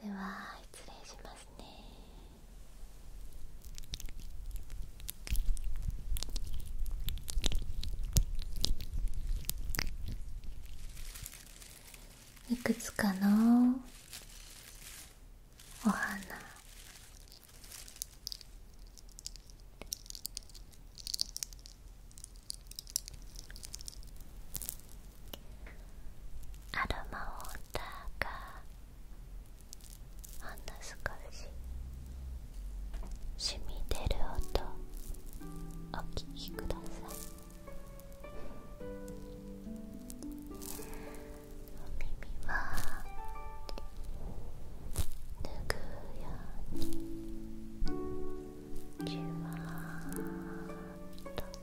では失礼しますねいくつかのお花アロマウォーターがほんの少し染み出る音お聞きくださいお耳はぬぐうようにじわーっと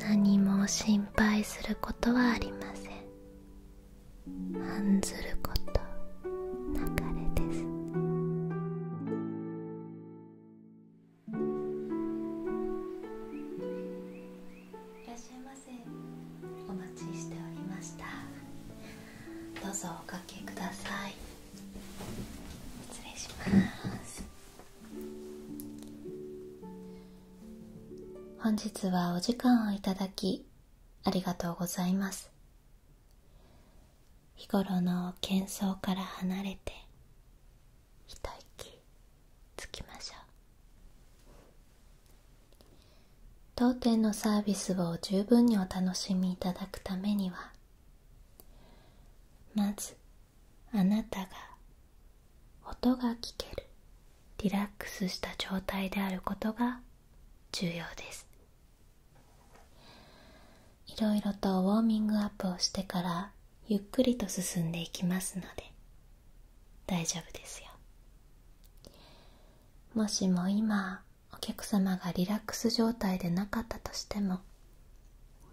何も心配することはありません案ずること流れですいらっしゃいませお待ちしておりましたどうぞおかけください失礼します本日はお時間をいただきありがとうございます日頃の喧騒から離れて一息つきましょう当店のサービスを十分にお楽しみいただくためにはまずあなたが音が聞けるリラックスした状態であることが重要ですいろいろとウォーミングアップをしてからゆっくりと進んでいきますので大丈夫ですよもしも今お客様がリラックス状態でなかったとしても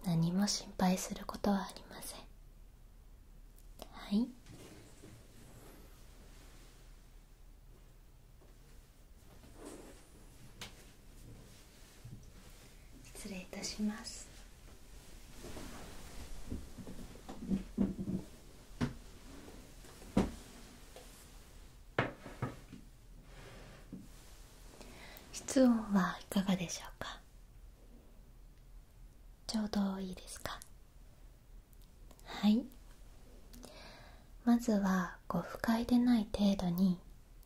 何も心配することはありませんはい失礼いたします室温はいかがでしょうかちょうどいいですかはいまずはこ不快でない程度に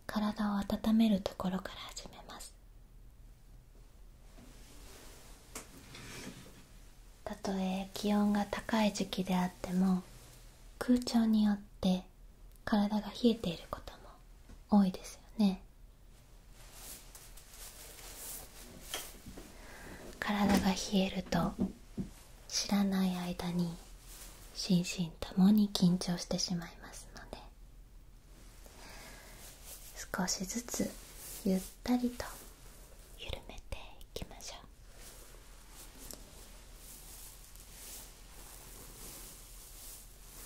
体を温めるところから始めますたとえ気温が高い時期であっても空調によって体が冷えていることも多いですよね体が冷えると知らない間に心身ともに緊張してしまいますので少しずつゆったりと緩めていきましょう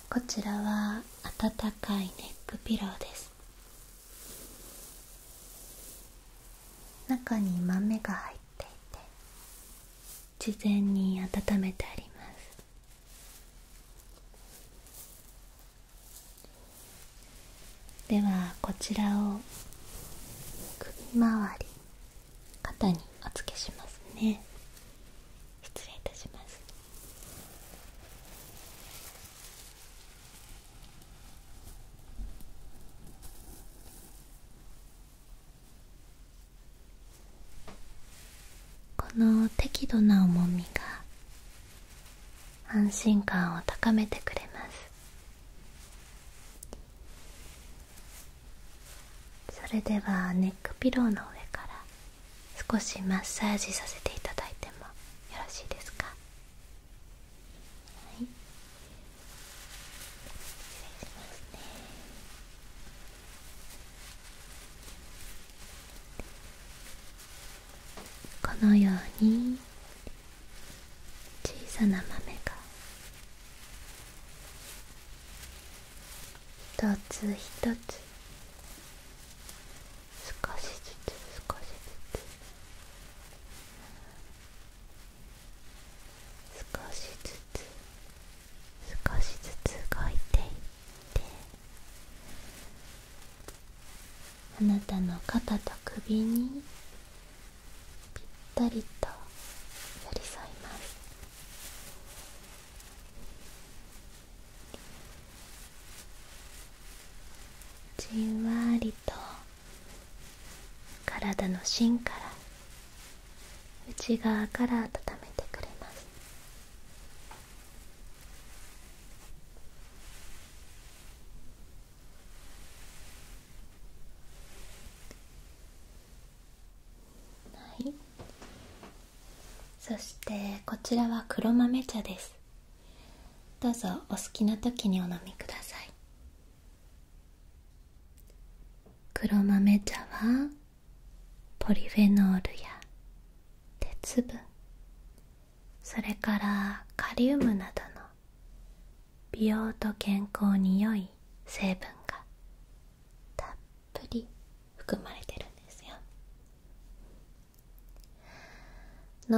こちらは温かいネックピローです中に豆が入っていて事前に温めてありますではこちらを首周り肩にお付けしますね失礼いたしますこの適度な重みが安心感を高めてくれますそれではネックピローの上から少しマッサージさせていただいてもよろしいですか失礼しますねこのように小さな豆が一つ一つ少しずつ少しずつ少しずつ少しずつ動いていってあなたの肩と首にぴったりと寄り添いますじんわりと体の芯から内側から温めてくれますはいそしてこちらは黒豆茶ですどうぞお好きな時にお飲みください黒豆茶はポリフェノールや鉄分それからカリウムなどの美容と健康に良い成分がたっぷり含まれてるんですよ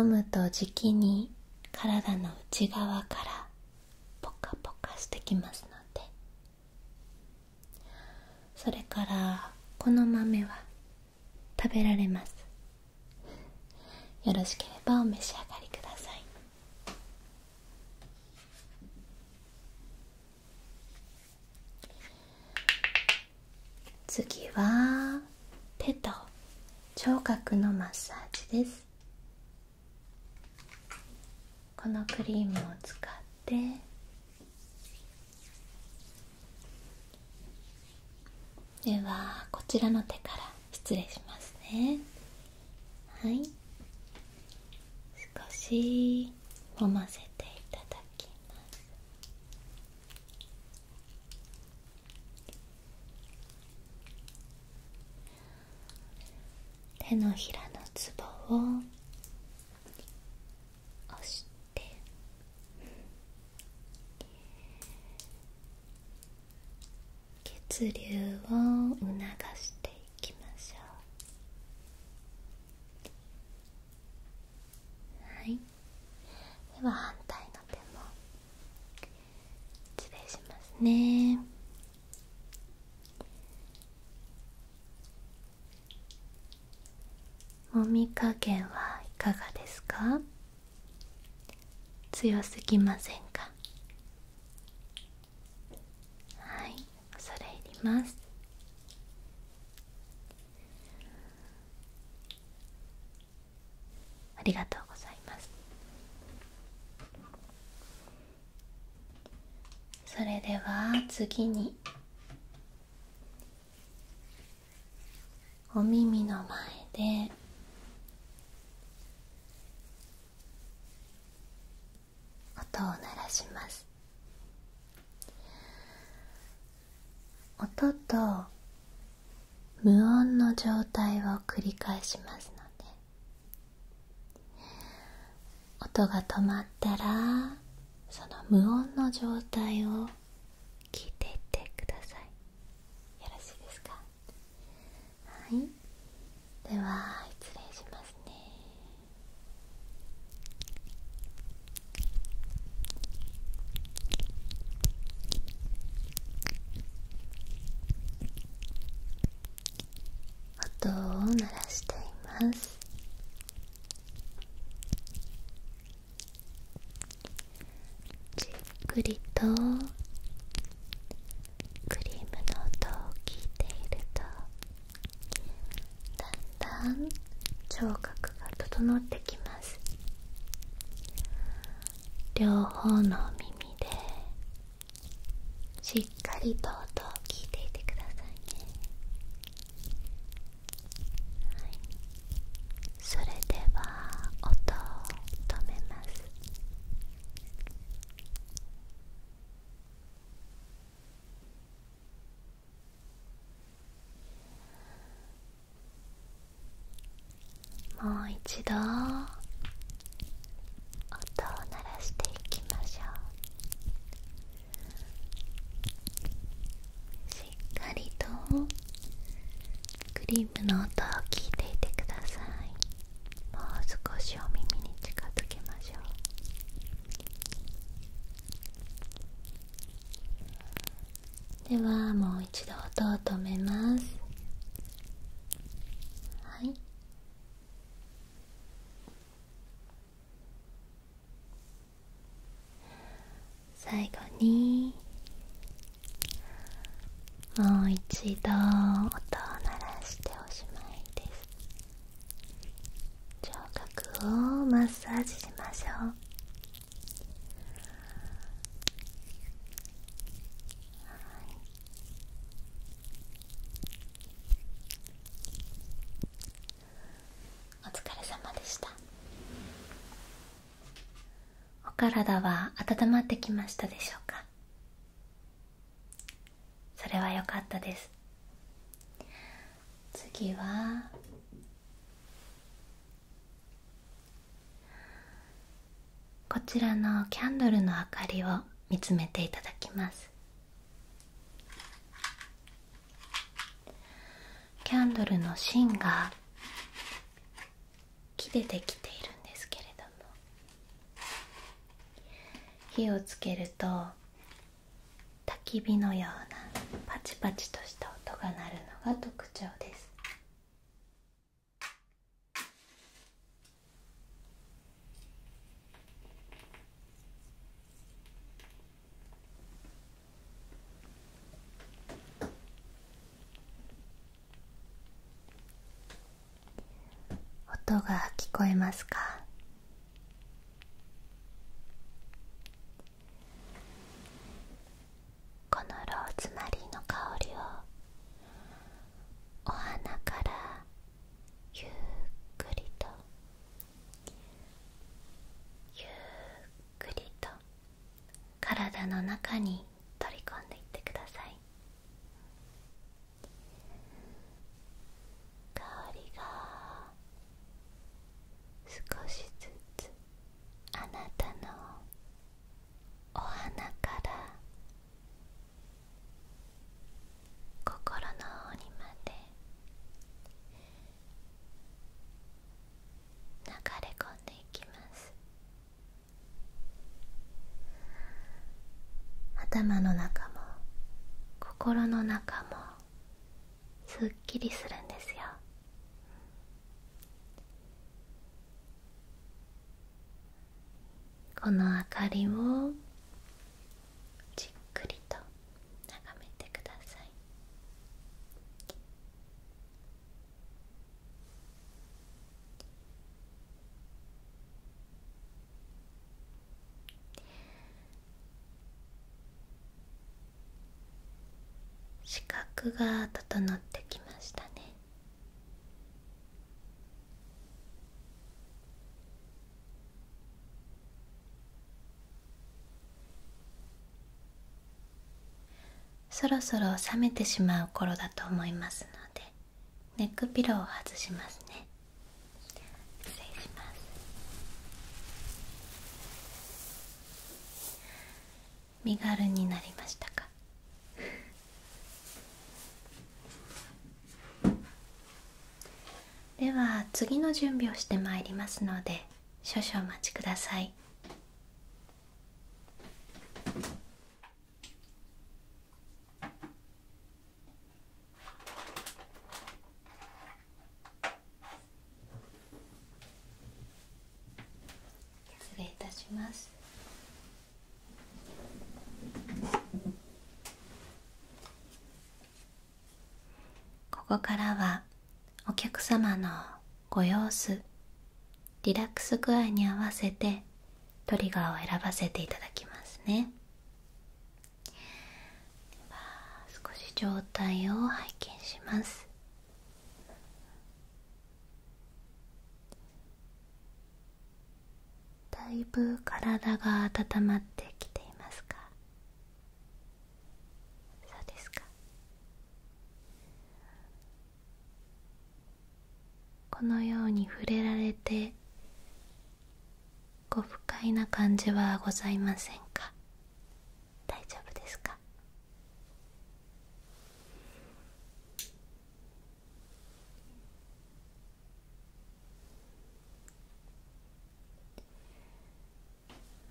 飲むとじきに体の内側からポカポカしてきますのでそれからこの豆は食べられますよろしければお召し上がりください次は手と聴覚のマッサージですこのクリームを使ってではこちらの手から失礼しますね少し揉ませていただ手のひらのツボを押して血流を促していきましょうはいでは反対の手も失礼しますねもみ加減はいかがですか強すぎませんかはい恐れ入りますありがとうございますそれでは次にお耳の前で音を鳴らします音と無音の状態を繰り返しますので音が止まったらその無音の状態を聞いていってくださいよろしいですかはいでは失礼しますね音を鳴らしていますじっくりとクリームの音を聞いているとだんだん聴覚が整ってきます両方の耳でしっかりと音を聞いていてくださいね、それでは音を止めますもう一度音を鳴らしていきましょうしっかりとクリームの音を聞いていてくださいもう少しお耳に近づけましょうではもう一度音を止めます最後にもう一度音を鳴らしておしまいです聴覚をマッサージしましょうお疲れ様でしたお体は温まってきましたでしょうかそれはよかったです次はこちらのキャンドルの明かりを見つめていただきますキャンドルの芯が木でできているんですけれども火をつけるとたき火のようなパチパチとした音が鳴るのが特徴です音が聞こえますかこのローズマリーの香りをお花からゆっくりとゆっくりと体の中に取り込んでいってください香りが少しずつあなたのお花から心の方にまで流れ込んでいきます頭の中も心の中もすっきりするんですよこの明かりをじっくりと眺めてください視覚が整ってきましたねそろそろ冷めてしまう頃だと思いますのでネックピローを外しますね失礼します身軽になりましたか では次の準備をしてまいりますので少々お待ちください 失礼いたしますここからはお客様のご様子リラックス具合に合わせてトリガーを選ばせていただきますね少し状態を拝見しますだいぶ体が温まってきていますかそうですかこのように触れられてご不快な感じはございませんか大丈夫ですか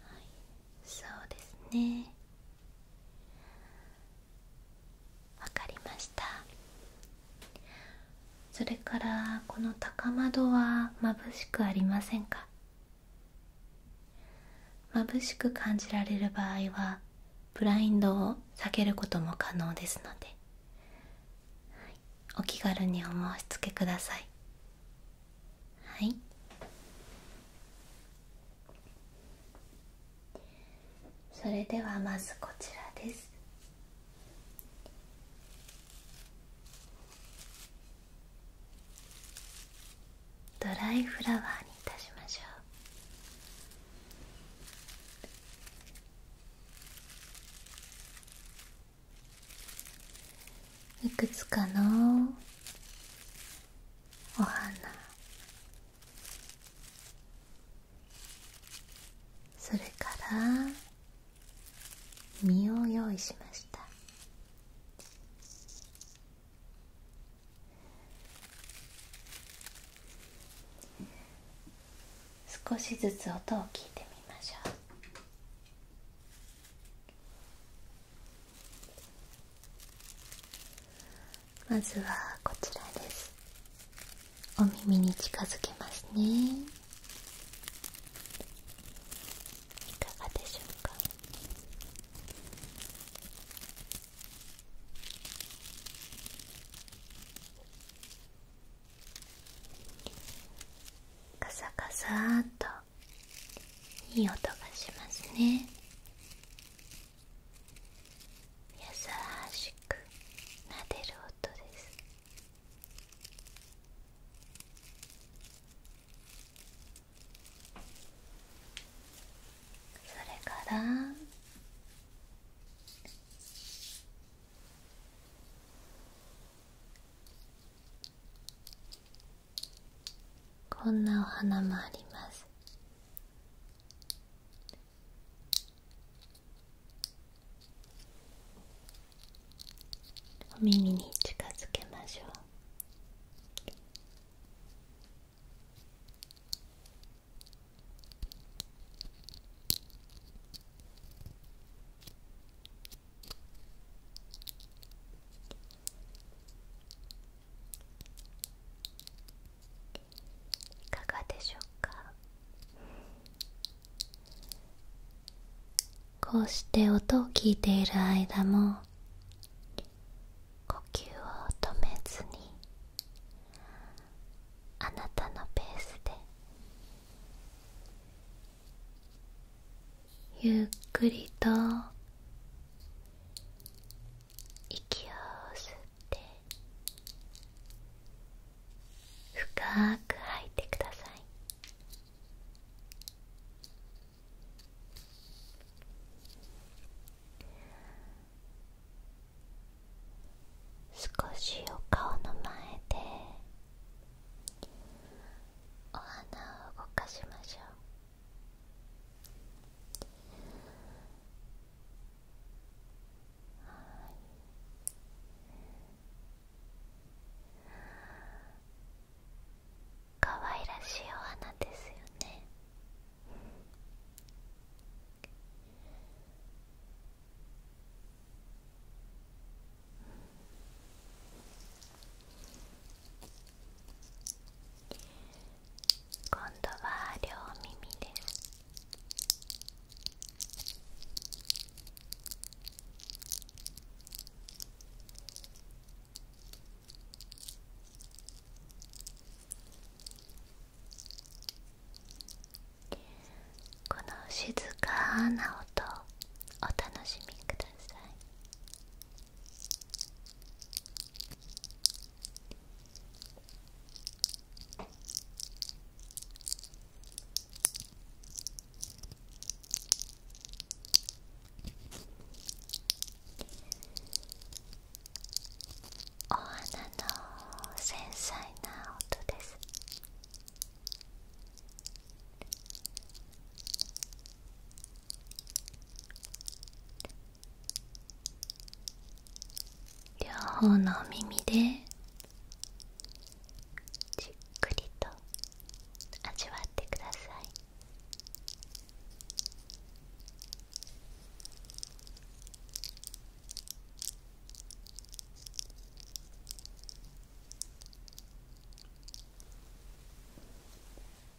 はいそうですねわかりましたそれからこの高窓はまぶしくありませんかましく感じられる場合はブラインドを避けることも可能ですので、はい、お気軽にお申し付けくださいはいそれではまずこちらですドライフラワーにいたしましょういくつかのお花それから実を用意しました少しずつ音を聞いてみましょうまずはこちらですお耳に近づけますねいかがでしょうかカサカサーといい音がしますね優しくなでる音ですそれからこんなお花もありますお耳に近づけましょういかがでしょうかこうして音を聞いている間も呼吸を止めずにあなたのペースでゆっくりと息を吸って深く吐いてください少しお顔の前でお花を動かしましょう可愛らしいお花ですよね今度は両耳ですこの静かな音お楽しみくださいお花の繊細な音です両方の耳でじっくりと味わってください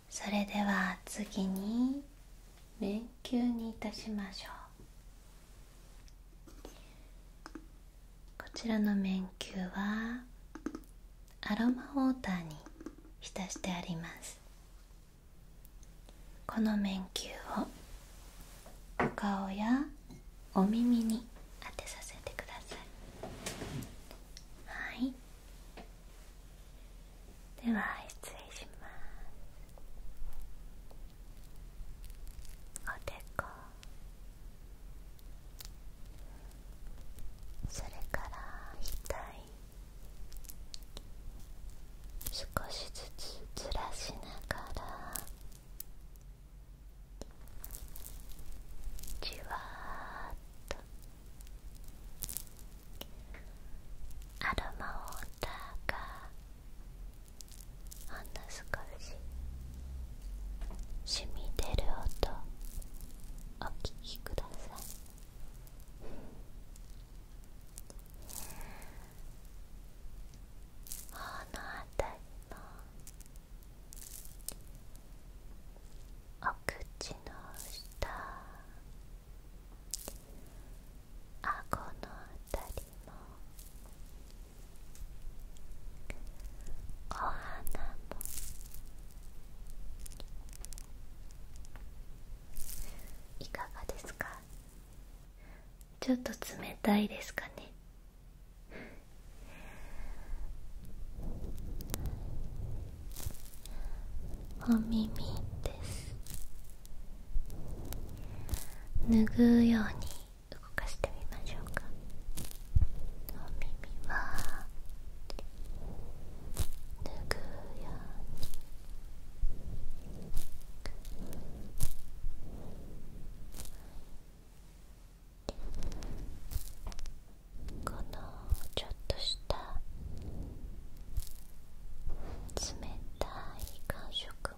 それでは次に迷宮にいたしましょうこちらの麺球はアロマウォーターに浸してありますこの麺球をお顔やお耳に当てさせてくださいはいでは失礼しますおでこそれから額少しずつずらしながらじわっとアロマを。ォーあんなスカ染み出る音お聞きください頬のあたりも。お口の下顎のあたりもお花もいかがですかちょっと冷たいですかねお耳です拭うように動かしてみましょうかお耳はぬぐようにこのちょっとした冷たい感触も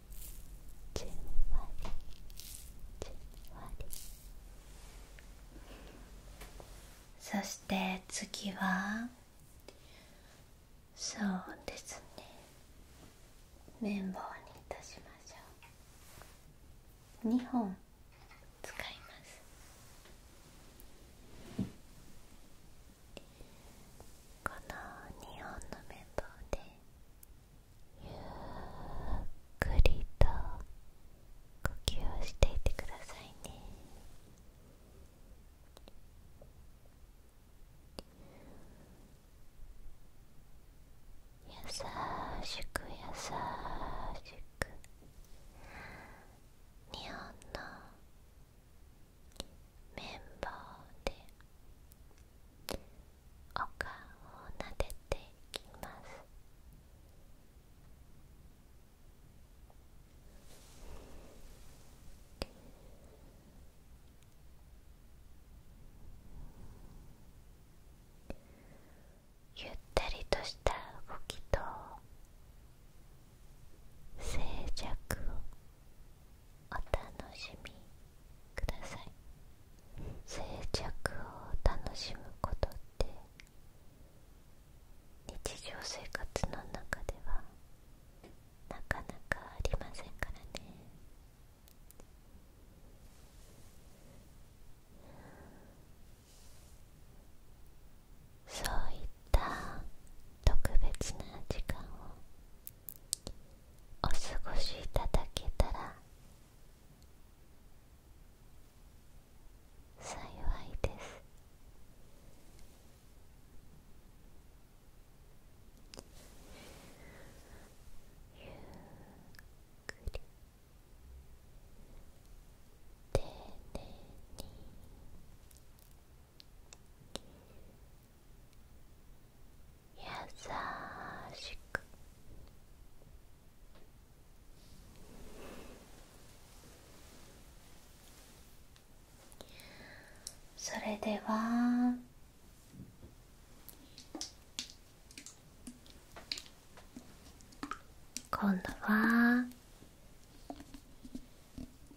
じんわりじんわりそして次はそうですね綿棒にいたしましょう2本使いますこの2本の綿棒でゆっくりと呼吸をしていてくださいね優しく優しく日本の綿棒でお顔を撫でていきますゆったりとした動きと静寂お楽しみください静寂を楽しむことって日常生活の中ではなかなかありませんからねそういった特別な時間をお過ごしいただけたら幸いですゆっくり丁寧に優しくそれでは今度は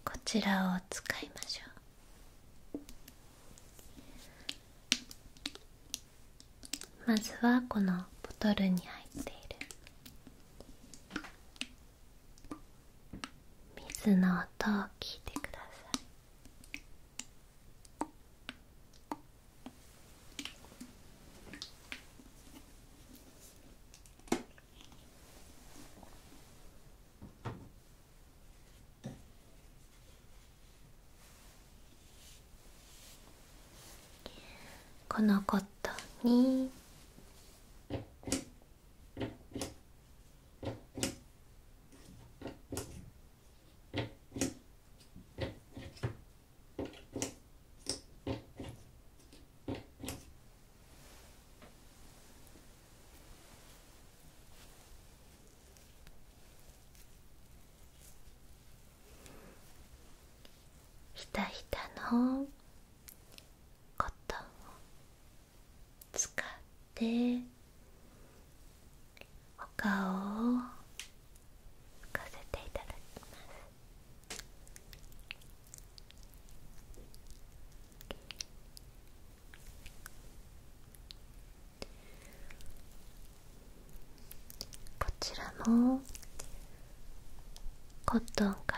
こちらを使いましょうまずはこのボトルに入っている水の音を聞いてくださいこのコットンにひたひたのコトンを使ってお顔を浮かせていただきますこちらもコットンか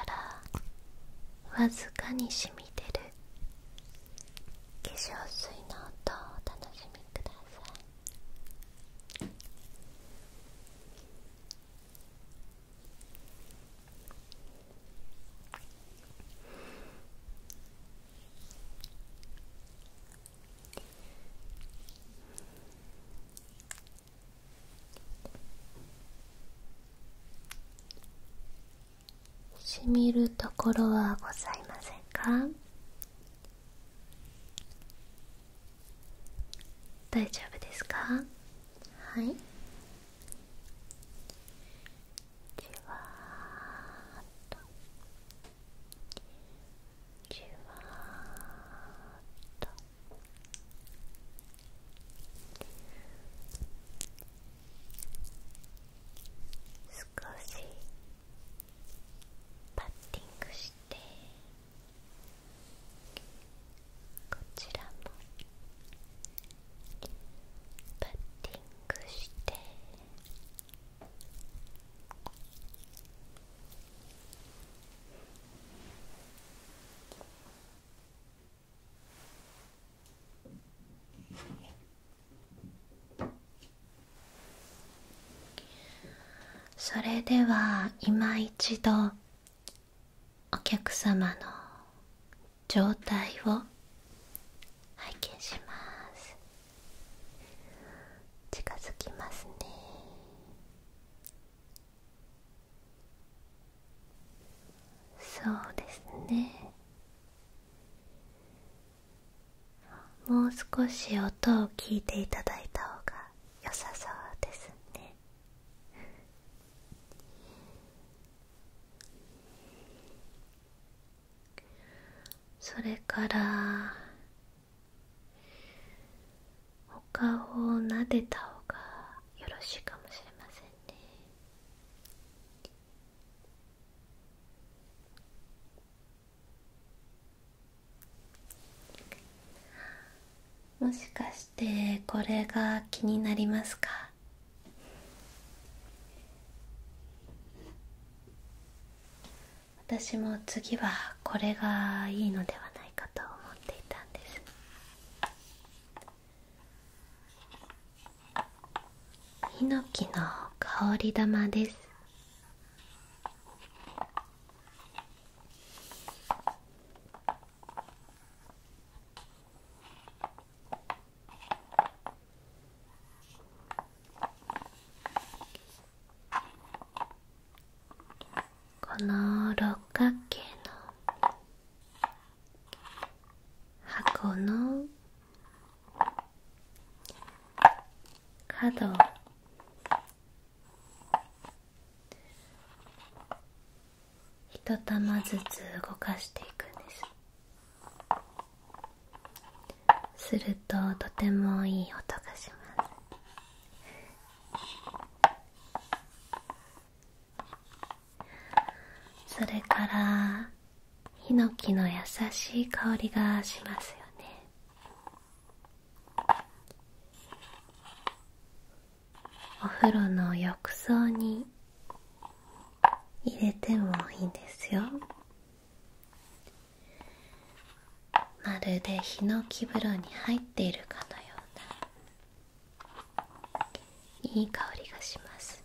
らわずかに染み出る化粧水の音をお楽しみくださいしみるところはございませんか大丈夫ですかはいじわっとじわっと少しパッティングしてこちらもパッティングして。それでは今一度お客様の状態を拝見します近づきますねそうですねもう少し音を聞いていただいた方が良さそうですねそれからお顔を撫でたほうがよろしいかもしれませんねもしかしてこれが気になりますか私も次はこれがいいのではないかと思っていたんですヒノキの香り玉ですこの六角形の箱の角一玉ずつ動かしていくんです。するととてもいい音がしますそれからヒノキの優しい香りがしますよねお風呂の浴槽に入れてもいいんですよまるでヒノキ風呂に入っているかのようないい香りがします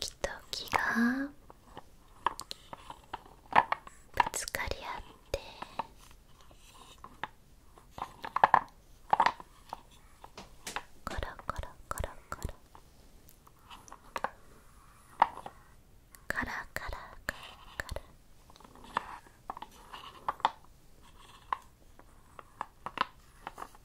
木と木がぶつかり合ってコロコロコロコロカラカラカラカラ「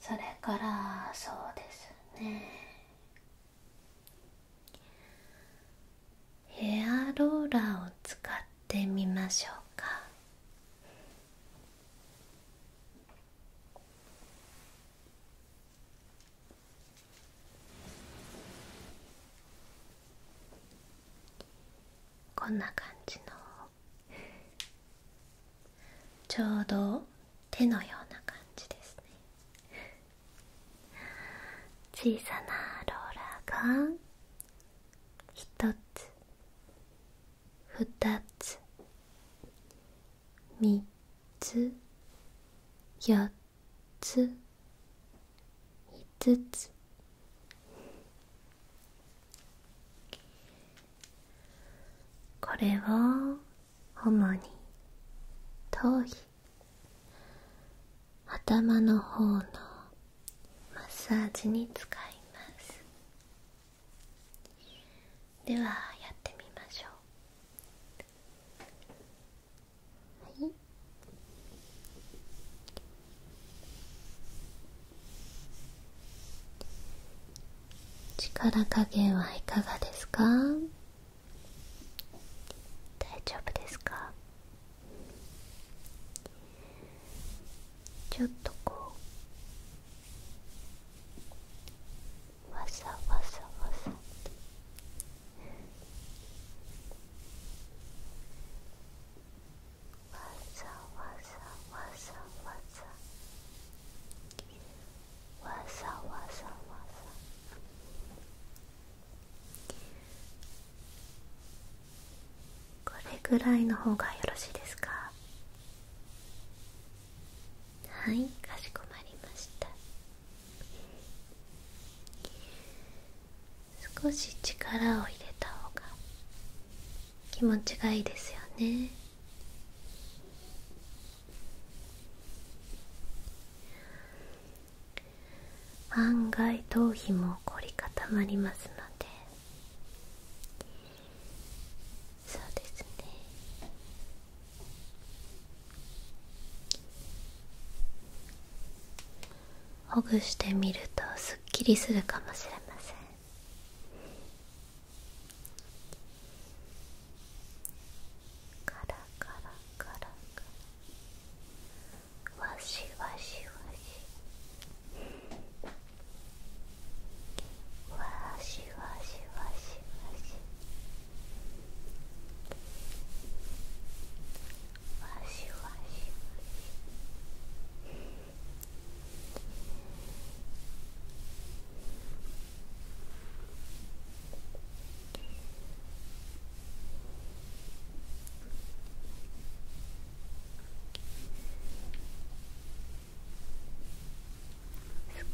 それからそうですねヘアローラーを使ってみましょうかこんな感じのちょうど手のような感じですね小さなローラーが1つ2つ3つ4つつ5つこれを主に頭皮頭の方のマッサージに使いますではやってみましょうはい力加減はいかがですか大丈夫ですかちょっとこうわさわさわさざわざわざわざわざわざわざこれぐらいの方がよろしいですかはいかしこまりました少し力を入れた方が気持ちがいいですよね案外頭皮も凝り固まりますのでそうですねほぐしてみるとすっきりするかもしれませんカラカラカラカラわしわしわしわしわしわしわししわし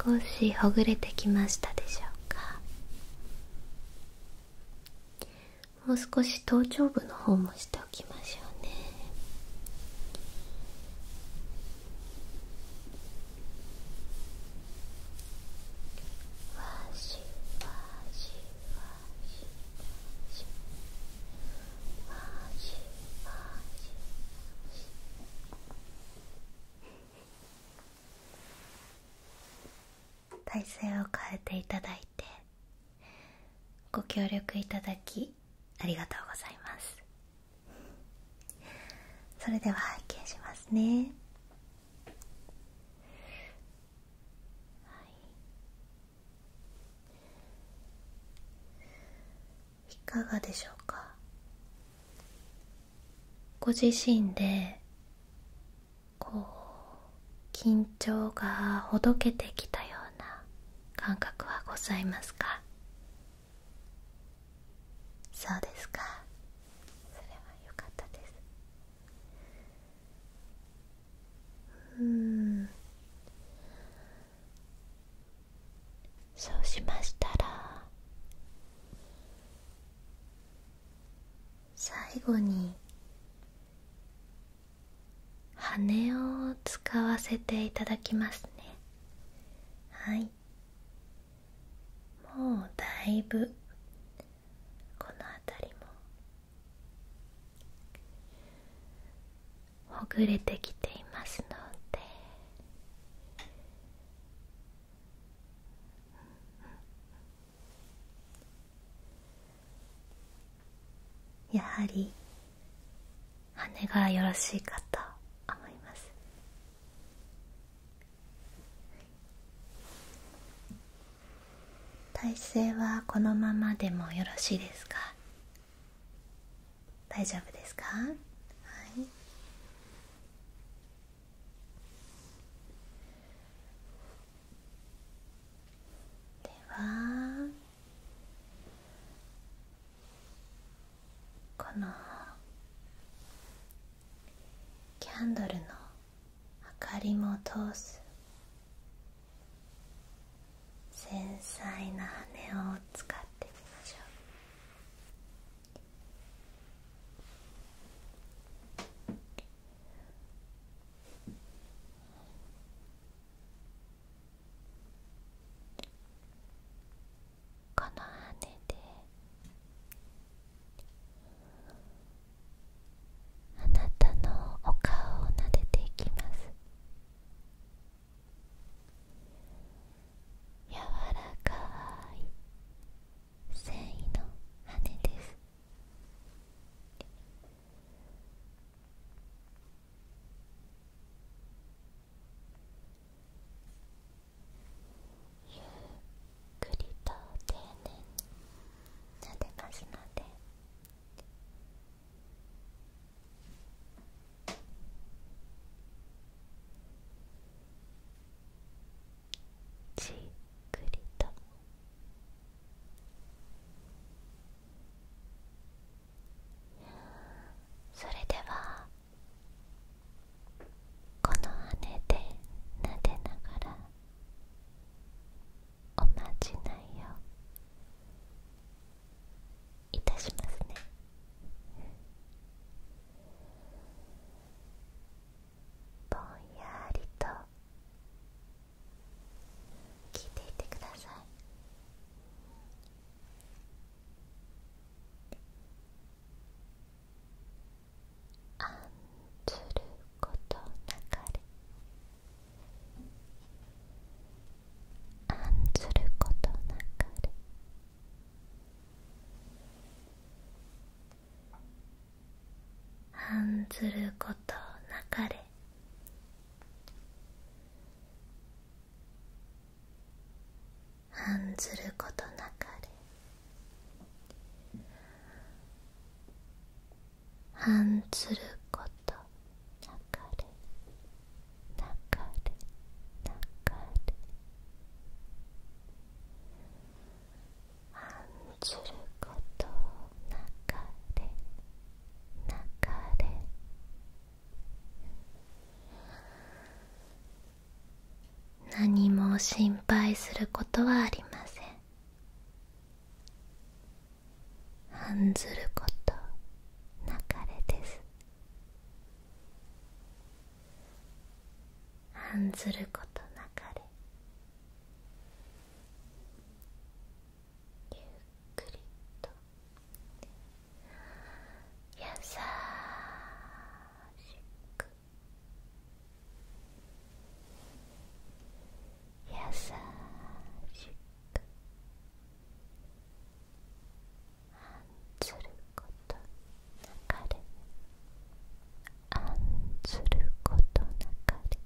少しほぐれてきましたでしょうかもう少し頭頂部の方もしておきましょうねわしわしわしわしわしわしわし体制を変えていただいてご協力いただきありがとうございますそれでは拝見しますねはい。いかがでしょうかご自身でこう緊張がほどけてきたような感覚はございますかそうですかそれは良かったですうんそうしましたら最後に羽を使わせていただきますねはいもうだいぶこの辺りもほぐれてきていますのでやはり羽がよろしいかと思います体勢はこのままでもよろしいですか大丈夫ですかはいではこのキャンドルの明かりも通す繊細な羽を使ってみましょうこの羽であなたのお顔を撫でていきます柔らかい繊維の羽ですゆっくりと丁寧に撫てますのでじっくりとそれではこの姉で撫でながらおまじないをいたしますねぼんやりと聞いていてください案ずることなかれ案ずることなかれはんずることなかれはんずることなかれはんずることなかれなかれなかれすること流れ流れ何も心配することはありません案ずること流れです案ずることなかれゆっくりと優しく優しく案ずることあんずることなかれ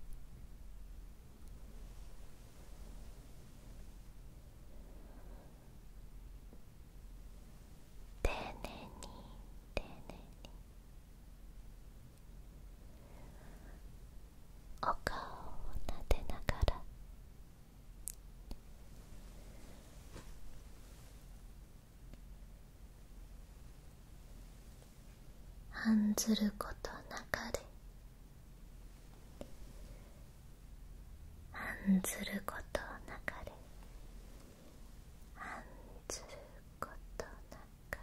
丁寧に丁寧にお顔をなでながら案ずることなかれ案ずることなかれ案ずることなかれ案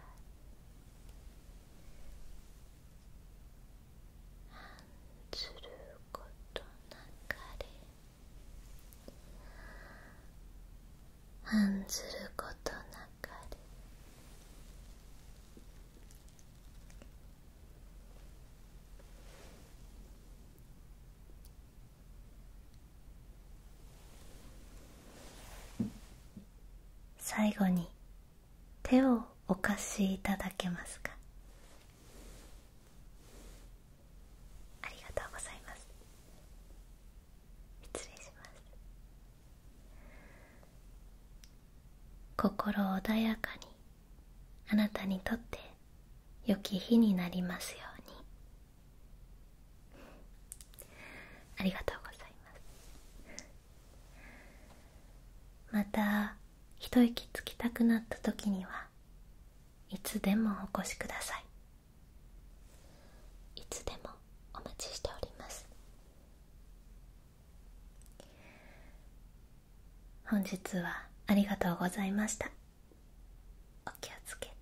ずることなかれ案ずることなかれ最後に手をお貸しいただけますかありがとうございます失礼します心穏やかにあなたにとって良き日になりますようにありがとうございますまた一息つきたくなった時にはいつでもお越しくださいいつでもお待ちしております本日はありがとうございましたお気をつけて。